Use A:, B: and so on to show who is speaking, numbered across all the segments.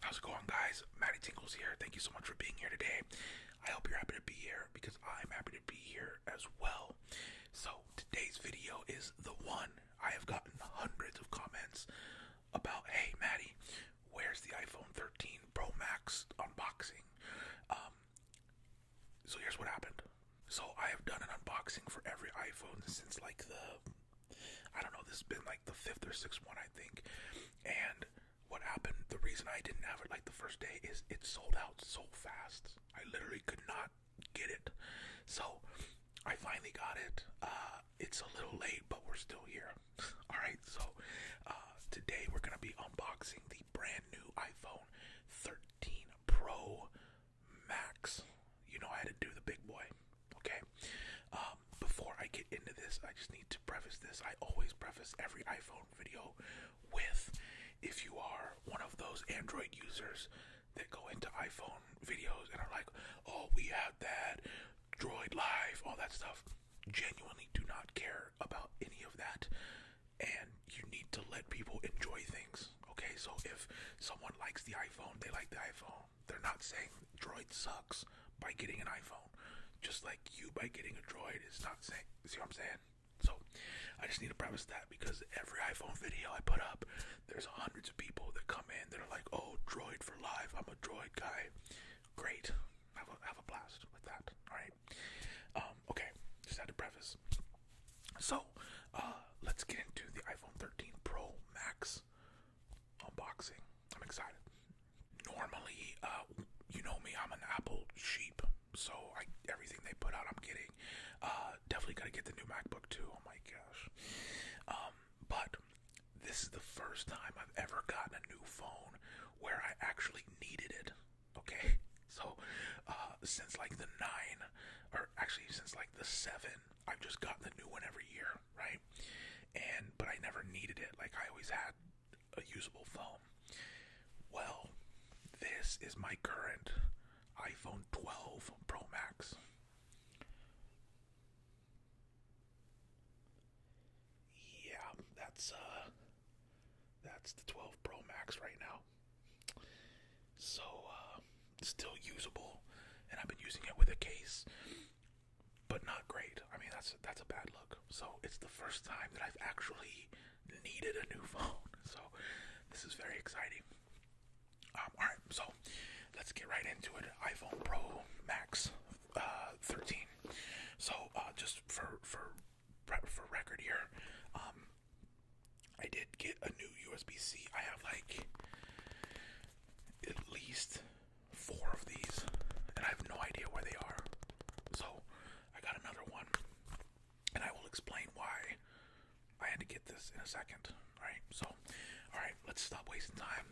A: How's it going, guys? Maddie Tingles here. Thank you so much for being here today. I hope you're happy to be here because I'm happy to be here as well. So, today's video is the one I have gotten hundreds of comments about hey Maddie, where's the iPhone 13 Pro Max unboxing? Um, so here's what happened. So I have done an unboxing for every iPhone since like the I don't know, this has been like the fifth or sixth one I think. And what happened, the reason I didn't have it like the first day is it sold out so fast. I literally could not get it. So I finally got it. Uh, it's a little late, but we're still here. Alright, so uh, today we're going to be unboxing the brand new iPhone 13 Pro Max. You know, I had to do the big boy. Okay. Um, before I get into this, I just need to preface this. I always preface every iPhone video with if you are one of those Android users that go into iPhone videos and are like, oh, we have that, Droid Live, all that stuff genuinely do not care about any of that and you need to let people enjoy things okay so if someone likes the iphone they like the iphone they're not saying droid sucks by getting an iphone just like you by getting a droid It's not saying see what i'm saying so i just need to preface that because every iphone video i put up there's hundreds of people that come in that are like oh droid for life i'm a droid guy great have a blast with that. All right. Um, okay. Just had to preface. So, uh, let's get into the iPhone 13 Pro Max unboxing. I'm excited. Normally, uh, you know me, I'm an Apple sheep, so everything they put out, I'm getting. Uh, definitely gotta get the new MacBook too. Oh my gosh. Um, but this is the first time I've ever gotten a new phone where I actually needed it. Okay, so uh, since like the nine, or actually since like the seven, I've just gotten the new one every year, right? And but I never needed it. Like I always had a usable phone. Well, this is my current iPhone 12 Pro Max. Yeah, that's uh, that's the 12 Pro Max right now. So uh still usable and I've been using it with a case but not great. I mean, that's that's a bad look. So, it's the first time that I've actually needed a new phone. So, this is very exciting. Um, all right, so let's get right into it. iPhone Pro Max uh, 13. So uh, just for for for record here, um, I did get a new USB C. I have like at least four of these, and I have no idea where they are. So I got another one, and I will explain why I had to get this in a second. All right. So, all right. Let's stop wasting time.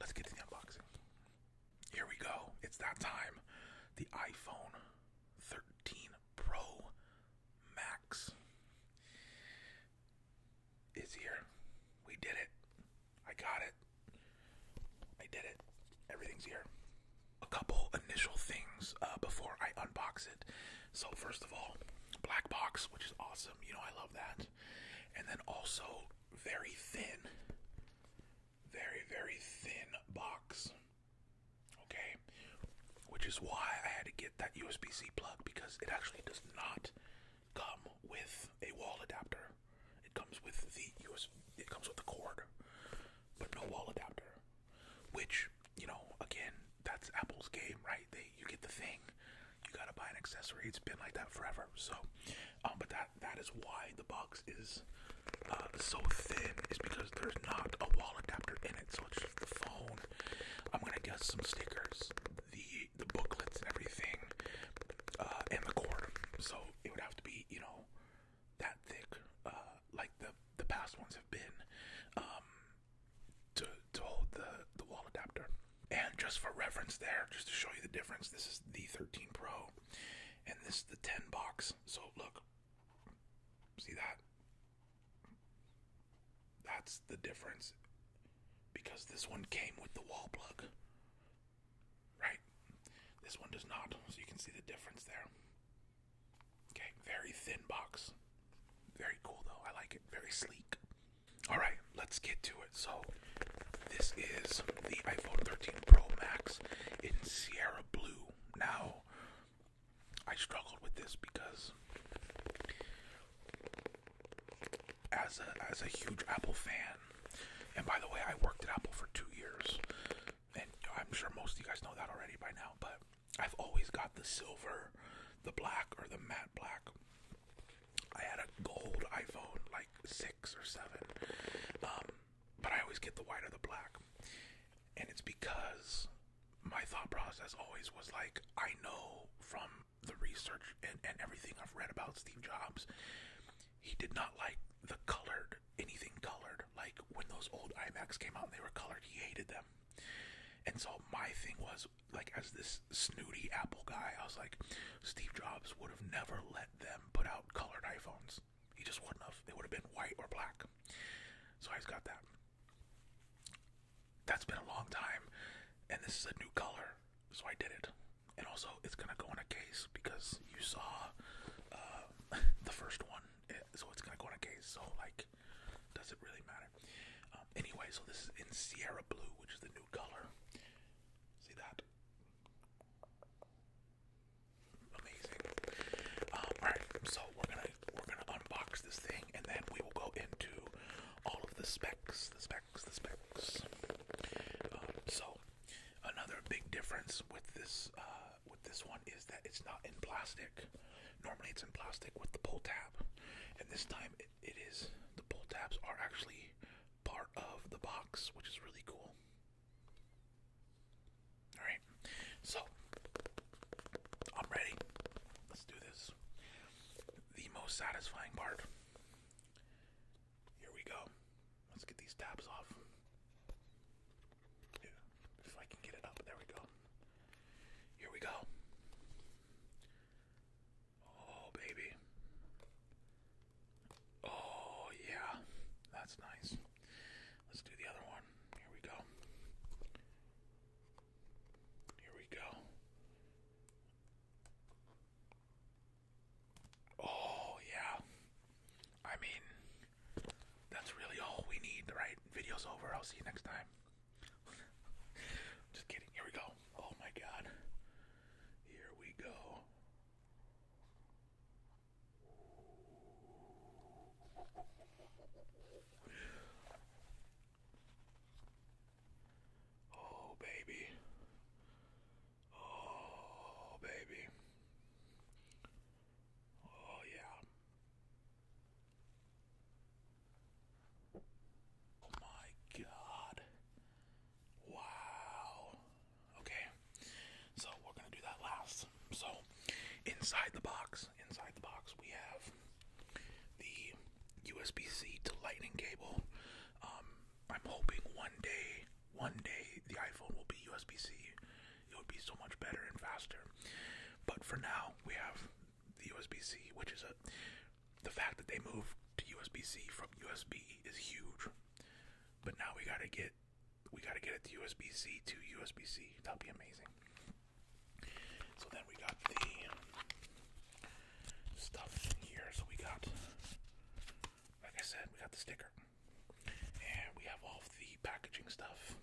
A: Let's get to the unboxing. Here we go. It's that time. The iPhone 13 Pro Max is here. We did it. I got it. I did it. Everything's here. A couple initial things uh, before I unbox it. So, first of all, black box, which is awesome. You know, I love that. And then also, very thin very, very thin box. Okay, which is why I had to get that USB C plug because it actually does not come with a wall adapter. It comes with the USB, it comes with the cord, but no wall adapter. Which, you know, again, that's Apple's game, right? They you get the thing, you gotta buy an accessory. It's been like that forever. So um, but that that is why the box is uh, so thin is because there's not a wall adapter in it, so it's just the phone. I'm gonna guess some stickers, the the booklets and everything, uh, and the cord. So it would have to be you know that thick, uh, like the the past ones have been, um, to to hold the the wall adapter. And just for reference, there, just to show you the difference, this is the 13 Pro, and this is the 10 box. So look, see that? That's the difference because this one came with the wall plug, right? This one does not, so you can see the difference there. Okay, very thin box. Very cool though, I like it. Very sleek. Alright, let's get to it. So, this is the iPhone 13 Pro Max in Sierra Blue. Now, I struggled with this because as a as a huge Apple fan, and by the way, I worked at Apple for two years, and I'm sure most of you guys know that already by now, but I've always got the silver, the black, or the matte black. I had a gold iPhone, like six or seven. Um, but I always get the white or the black. And it's because my thought process always was like, I know from the research and, and everything I've read about Steve Jobs, he did not like the colored, anything colored. Like when those old iMacs came out and they were colored, he hated them. And so my thing was, like, as this snooty Apple guy, I was like, Steve Jobs would have never let them put out colored iPhones. He just wouldn't have. It would have been white or black. So I just got that. That's been a long time, and this is a new color, so I did it. And also, it's gonna go in a case because you saw uh, the first one, eh, so it's gonna go in a case. So like, does it really matter? Um, anyway, so this is in Sierra Blue, which is the new color. See that? Amazing. Um, all right, so we're gonna we're gonna unbox this thing, and then we will go into all of the specs, the specs, the specs. Um, so another big difference with this uh, with this one is that it's not in plastic. Normally, it's in plastic with the pull tab, and this time it, it is. The pull tabs are actually part of the box, which is really cool. Alright, so I'm ready. Let's do this. The most satisfying part. Here we go. Let's get these tabs off. if I can get it up, there we go. Here we go. Oh, baby. Oh, yeah, that's nice. Let's do the other one. Here we go. Here we go. Oh, yeah. I mean, that's really all we need, right? Video's over. I'll see you next time. Just kidding. Here we go. Oh, my God. Here we go. Oh, baby. Oh, baby. Oh, yeah. Oh my God. Wow. Okay, so we're gonna do that last. So, inside the box, inside the box, we have the USB-C to Lightning cable. Um, I'm hoping one day, one day, the iPhone will be USB-C. It would be so much better and faster. But for now, we have the USB-C, which is a the fact that they moved to USB-C from USB is huge. But now we gotta get we got to get it to USB C to USB C. that will be amazing. So then we got the stuff here. So we got, like I said, we got the sticker, and we have all of the packaging stuff,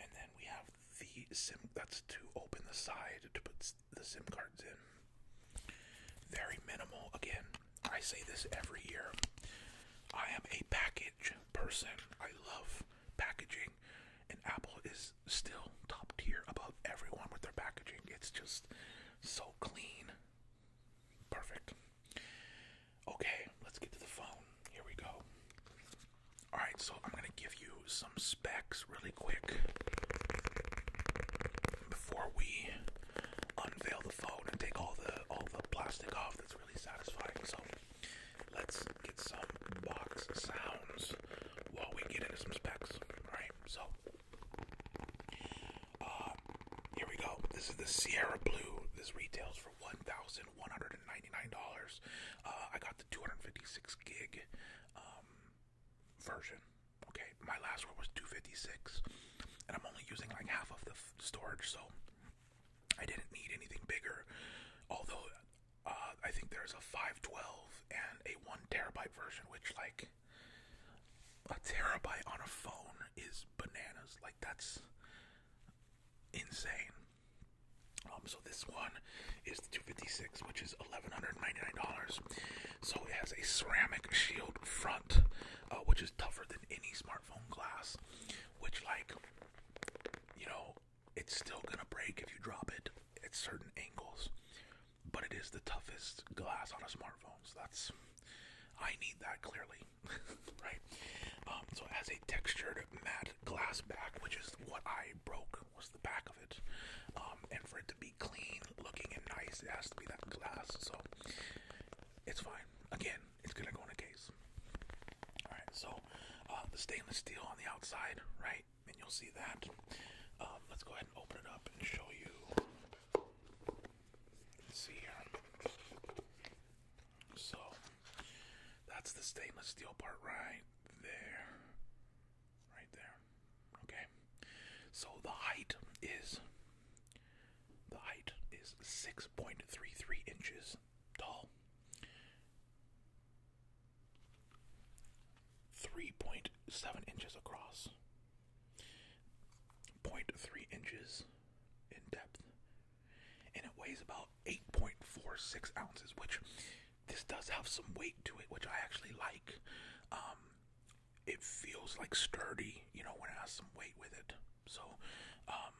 A: and then we have the SIM. That's to open the side to put the SIM cards in. Very minimal again. I say this every year. I am a package person. I love packaging, and Apple is still top tier above everyone with their packaging. It's just so clean. Perfect. Okay, let's get to the phone. Here we go. Alright, so I'm going to give you some specs really quick before we unveil the phone and take all the all the plastic off that's really satisfying. So let's get some box sounds while we get into some specs. Alright, so uh, here we go. This is the Sierra Blue. This retails for one thousand one hundred and ninety-nine dollars. Uh, I got the two hundred fifty-six gig um, version. Okay, my last one was two fifty-six, and I'm only using like half of the storage, so I didn't need anything bigger, although uh, I think there's a 512 and a one terabyte version, which like a terabyte on a phone is bananas. Like that's insane. Um, so this one is the 256, which is $1,199. So it has a ceramic shield front, uh, which is tougher than any smartphone smartphone glass, which, like, you know, it's still gonna break if you drop it at certain angles, but it is the toughest glass on a smartphone. So that's I need that clearly, right? Um, so it has a textured matte glass back, which is what I broke was the back of it, um, and for it to be clean looking and nice, it has to be that glass. So it's fine. Again, it's gonna go in a case. All right, so uh, the stainless steel on the outside, right? And you'll see that. Um, let's go ahead and open it up and show you. see here. So that's the stainless steel part right there. Right there. Okay. So the height is the height is 6.33 inches tall, 3.7 inches across, 0.3 inches in depth, and it weighs about 8.46 ounces, which this does have some weight to it, which I actually like. Um, it feels like sturdy, you know, when it has some weight with it. So, um,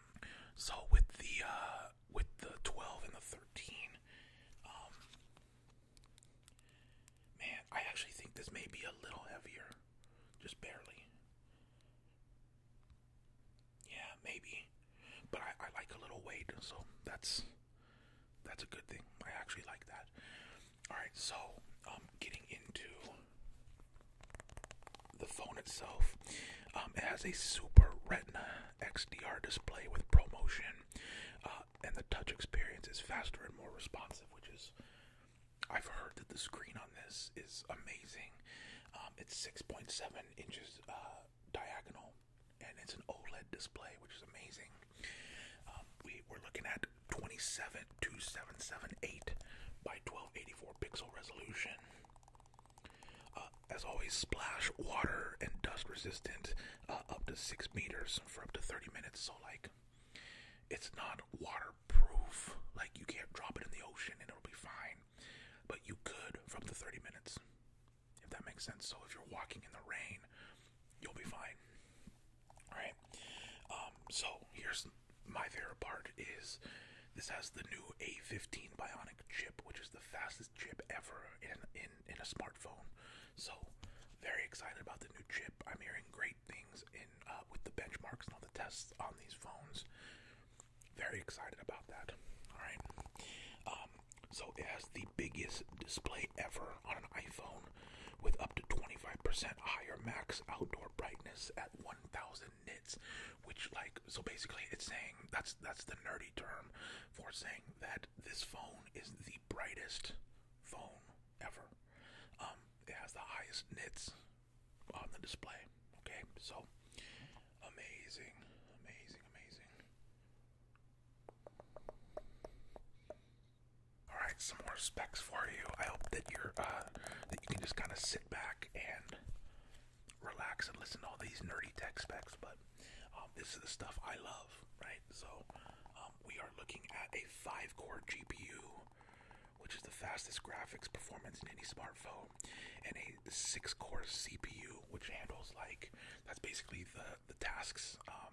A: so with the uh, with the twelve and the thirteen, um, man, I actually think this may be a little heavier, just barely. Yeah, maybe, but I, like a little weight, so that's that's a good thing. I actually like that. All right, so um, getting into the phone itself. Um, has a Super Retina XDR display with ProMotion, uh, and the touch experience is faster and more responsive, which is. I've heard that the screen on this is amazing. Um, it's 6.7 inches uh, diagonal, and it's an OLED display, which is amazing. Um, we, are looking at 27 2778 by 1284 pixel resolution. Uh, as always, splash water and dust resistant uh, up to six meters for up to 30 minutes. So, like, it's not waterproof. Like, you can't drop it in the ocean and it'll be fine. But you could from the 30 minutes, if that makes sense. So, if you're walking in the rain, you'll be fine. All right. Um, so, here's my favorite part is this has the new A15 Bionic chip, which is the fastest chip ever in in in a smartphone. So very excited about the new chip. I'm hearing great things in uh, with the benchmarks and all the tests on these phones. Very excited about that. All right. Um, so it has the biggest display ever on an iPhone, with up to 25% higher max outdoor brightness at 1,000 nits, which like so basically it's saying that's that's the nerdy term for saying that this phone is the brightest phone ever. Um, it has the highest nits on the display. Okay, so amazing, amazing, amazing. All right, some more specs for you. I hope that you're uh, that you can just kind of sit back and relax and listen to all these nerdy tech specs, but um, this is the stuff I love, right? So um, we are looking at a five-core GPU, which is the fastest graphics performance in any smartphone, and a six-core CPU, which handles like that's basically the the tasks um,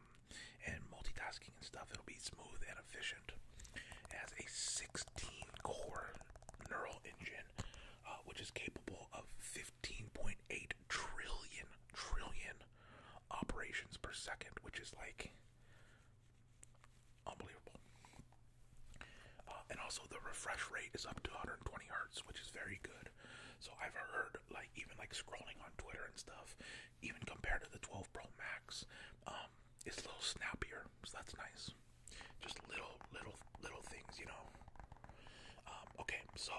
A: and multitasking and stuff. It'll be smooth and efficient. It has a 16-core neural engine uh, which is capable of 15.8 trillion trillion operations per second, which is like unbelievable. Uh, and also the refresh rate is up to 120 hertz, which is very good. So I've heard like even like scrolling on Twitter and stuff, even compared to the 12 Pro Max, um, um, it's a little snappier, so that's nice. Just little, little, little things, you know. Um, okay, so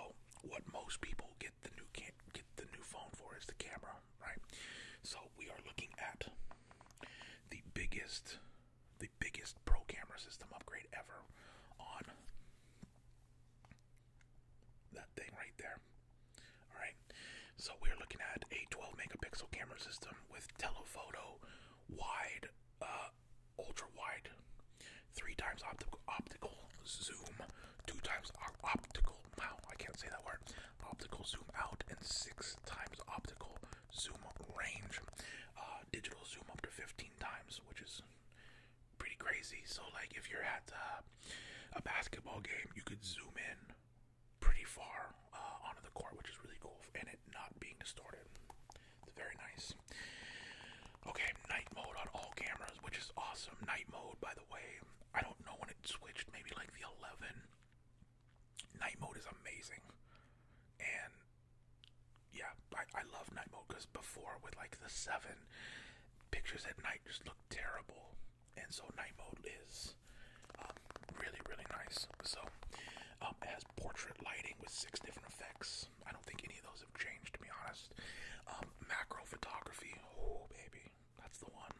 A: what most people get the new get the new phone for is the camera, right? So we are looking at the biggest, the biggest pro camera system upgrade ever on that thing right there. All right, so we're looking at a 12 megapixel camera system with telephoto, wide uh, ultra wide, three times optical zoom, two times optical. Wow, I can't say that word. Optical zoom out and six times optical zoom range. Uh, digital zoom up to 15 times, which is pretty crazy. So like if you're at uh, a basketball game, you could zoom in pretty far uh, onto the court, which is really cool, and it not being distorted. It's very nice. Okay, night mode on all cameras, which is awesome. Night mode, by the way, I don't know when it switched, maybe like the 11. Night mode is amazing. And yeah, I, I love night mode because before with like the 7, pictures at night just look terrible. And so night mode is um, really, really nice. So, um, as portrait lighting with six different effects. I don't think any of those have changed, to be honest. Um, macro photography, oh baby, that's the one.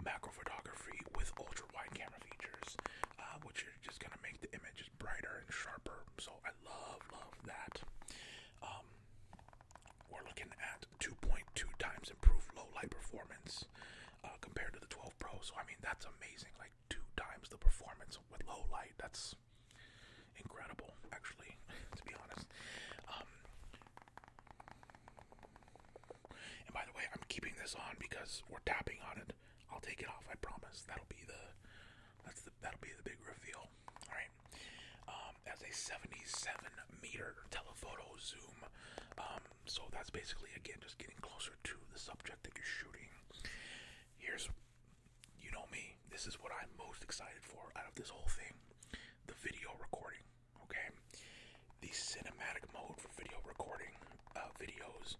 A: Macro photography with ultra wide camera features, uh, which is just gonna make the images brighter and sharper. So I love, that. Um, we're looking at 2.2 times improved low light performance uh, compared to the 12 Pro. So I mean, that's amazing. Like two times the performance with low light. That's incredible, actually, to be honest. Um, and by the way, I'm keeping this on because we're tapping on it. I'll take it off. I promise. That'll be the that's the that'll be the big reveal. All right. Um, as a 77 meter telephoto zoom. Um, so that's basically again just getting closer to the subject that you're shooting. Here's, you know me, this is what I'm most excited for out of this whole thing the video recording, okay? The cinematic mode for video recording uh, videos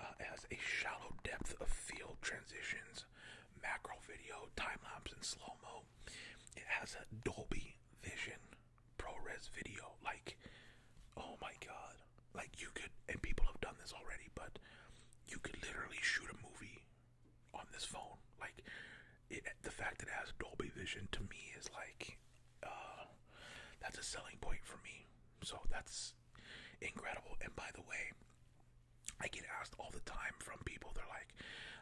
A: uh, has a shallow depth of field transitions, macro video, time lapse, and slow mo. It has a Dolby Vision ProRes video. Like, oh my god, God. Like you could, and people have done this already, but you could literally shoot a movie on this phone. Like it, the fact that it has Dolby Vision to me is like, uh, that's a selling point for me. So that's incredible. And by the way, I get asked all the time from people. They're like,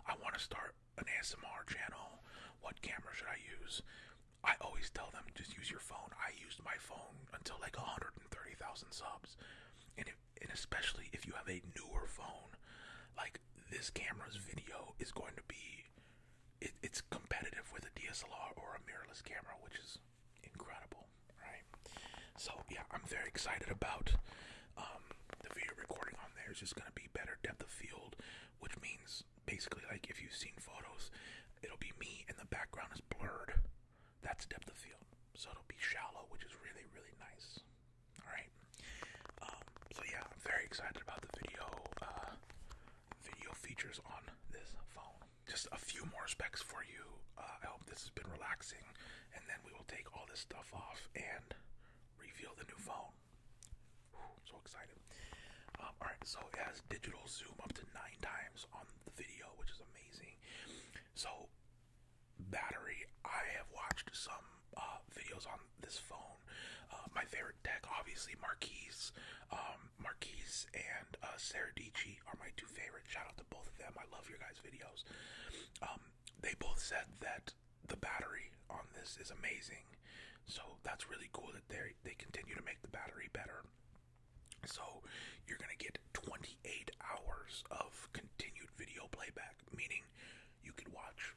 A: I want to start an ASMR channel. What camera should I use? I always tell them just use your phone. I used my phone until like 130,000 subs. And and especially if you have a newer phone, like this camera's video is going to be it's competitive with a DSLR or a mirrorless camera, which is incredible, right? So yeah, I'm very excited about um, the video recording on there. It's just gonna be better depth of field, which means basically like if you've seen photos, it'll be me and the background is blurred. That's depth of field. So it'll be shallow, which is really, really nice. Alright. Um, so yeah, I'm very excited about the video uh, video features on this phone. Just a few more specs for you. Uh, I hope this has been relaxing, and then we will take all this stuff off and reveal the new phone. so excited. Um, alright, so it has digital zoom up to nine times on the video, which is amazing. So, battery, I have watched some uh, videos on this phone. Uh, my favorite tech, obviously, Marquise. Um, and uh, Seradici are my two favorite. Shout out to both of them. I love your guys' videos. Um, they both said that the battery on this is amazing. So, that's really cool that they, they continue to make the battery better. So you're going to get 28 hours of continued video playback, meaning you can watch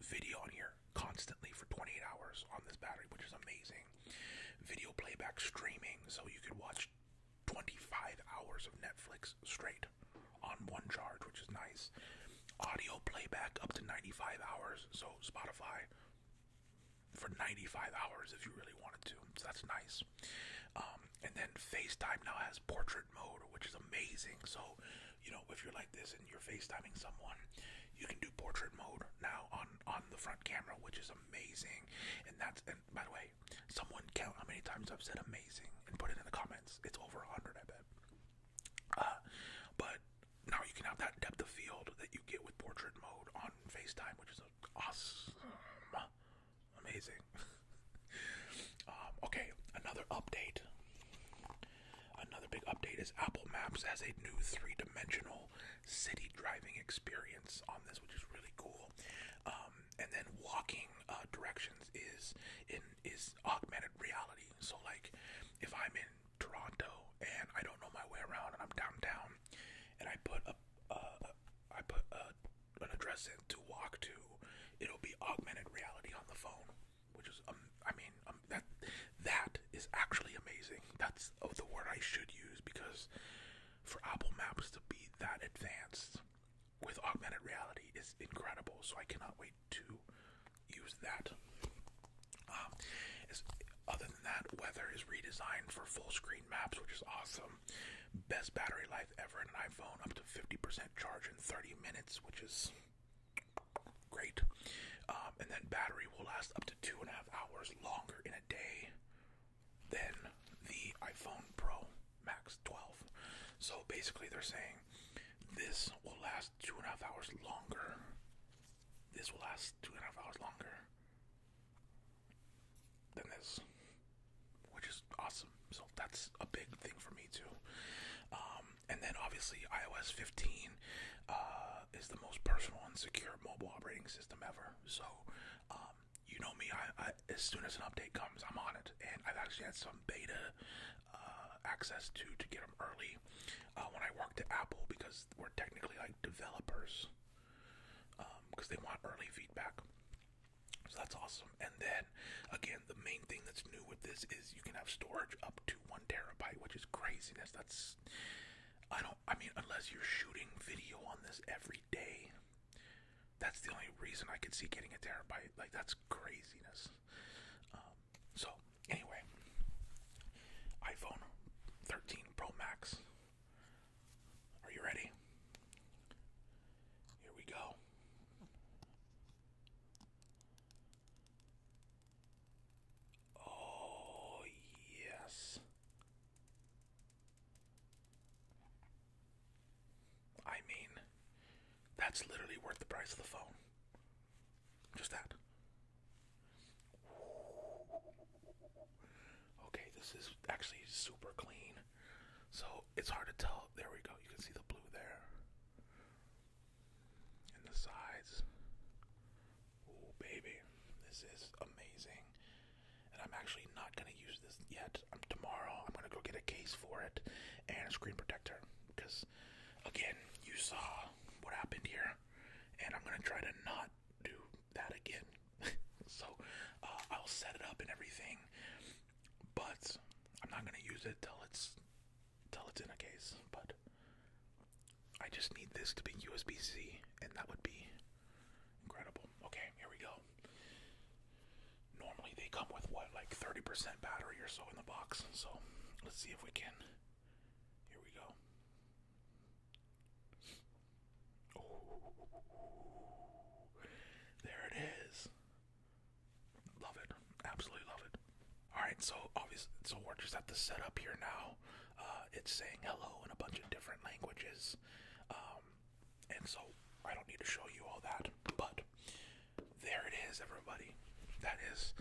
A: video on here constantly for 28 hours on this battery, which is amazing. Video playback streaming, so you could watch 25 hours of Netflix straight on one charge, which is nice. Audio playback up to 95 hours, so Spotify, for 95 hours if you really wanted to. that's nice. Um, and then FaceTime now has portrait mode, which is amazing. So, you know, if you're like this and you're FaceTiming someone, you can do portrait mode now on on the front camera, which is amazing. And that's and by the way, someone count how many times I've said amazing and put it in the comments. It's over 100, I bet. Uh, but now you can have that depth of field that you get with portrait mode on FaceTime, which is awesome, amazing. Um, okay, another update. Another big update is Apple Maps has a new three-dimensional city driving experience on this, which is really cool. Um, and then walking uh, directions is in is augmented reality. So like, if I'm in Toronto and I don't know my way around and I'm downtown, and I put a uh, I put uh, an address in to walk to, it'll be augmented reality on the phone, which is um, I mean um, that that is actually amazing. That's oh, the word I should use because for Apple Maps to be that advanced with augmented reality is incredible. So I cannot wait to use that. Um, other than that, weather is redesigned for full screen maps, which is awesome. Best battery life ever in an iPhone, up to 50% charge in 30 minutes, which is great. Um, and then battery will last up to two and a half hours longer in a day than the iPhone Pro Max 12. So basically, they're saying this will last two and a half hours longer. This will last two and a half hours longer than this, which is awesome. So that's a big thing for me too. Um, and then obviously iOS 15 uh, is the most personal and secure mobile operating system ever. So um, you know me, as soon as an update comes, I'm on it. And I've actually had some beta uh, access to to get them early uh, when I worked at Apple because we're technically like developers because um, they want early feedback. So that's awesome. And then again, the main thing that's new with this is you can have storage up to one terabyte, which is craziness. That's I don't. I mean, unless you're shooting video on this every day, that's the only reason I could see getting a terabyte. Like that's craziness. Um, so anyway, iPhone 13 Pro Max are you ready? Here we go. Oh, yes. I mean, that's literally worth the price of the phone. Just that. Okay, this is actually super clean. So it's hard to tell. There we go. You can see the blue there. And the sides. Oh, baby. This is amazing. And I'm actually not going to use this yet. Um, tomorrow, I'm going to go get a case for it and a screen protector. Because, again, you saw what happened here. And I'm going to try to not do that again. so uh, I'll set it up and everything, but I'm not gonna use it till it's till it's in a case. But I just need this to be USB-C, and that would be incredible. Okay, here we go. Normally they come with what, like 30% battery or so in the box. So let's see if we can. Here we go. Ooh, there it is. Love it. Absolutely love it. All right, so obviously, so we're just at the setup here now. Uh, it's saying hello in a bunch of different languages, um, and so I don't need to show you all that, but there it is, everybody. That is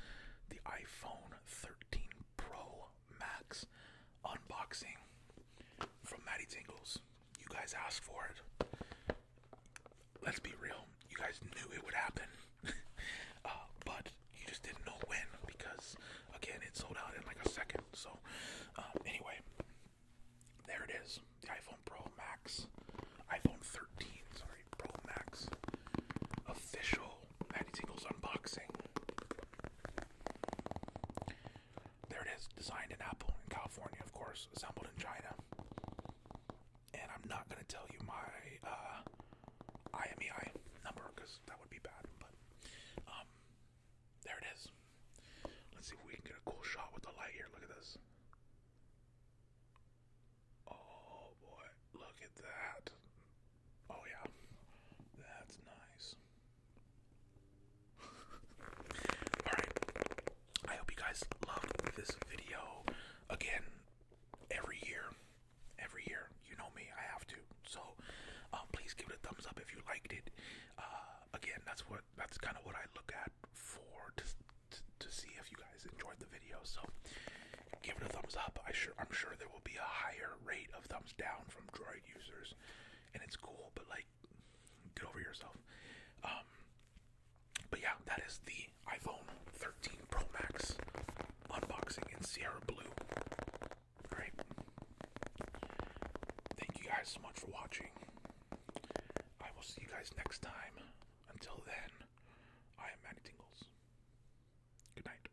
A: the iPhone 13 Pro Max unboxing from Matty Tingles. You guys asked for it. Let's be real, you guys knew it would happen. uh, but you just didn't know when because, again, it sold out in like a second. So, um, anyway, there it is the iPhone Pro Max, iPhone 13, sorry, Pro Max official Matty Tingles unboxing. There it is, designed in Apple in California, of course, assembled in China. And I'm not gonna tell you my uh, IMEI number because that would be bad. But um, there it is. Let's see if we can get a cool shot with the light here. Look at this. Oh boy, look at that. Oh yeah, that's nice. Alright, I hope you guys loved this video. Again, every year, every year, you know me, I have to. So, um, please give it a thumbs up if you liked it. Uh, again, that's what that's kind of what I look at for to, to, to see if you guys enjoyed the video. So, give it a thumbs up. I sure I'm sure there will be a higher rate of thumbs down from Droid users, and it's cool. But like, get over yourself. Um, but yeah, that is the iPhone 13 Pro Max unboxing in Sierra Blue. Alright. Thank you guys so much for watching. I will see you guys next time. Until then, I am Manny Tingles. Good night.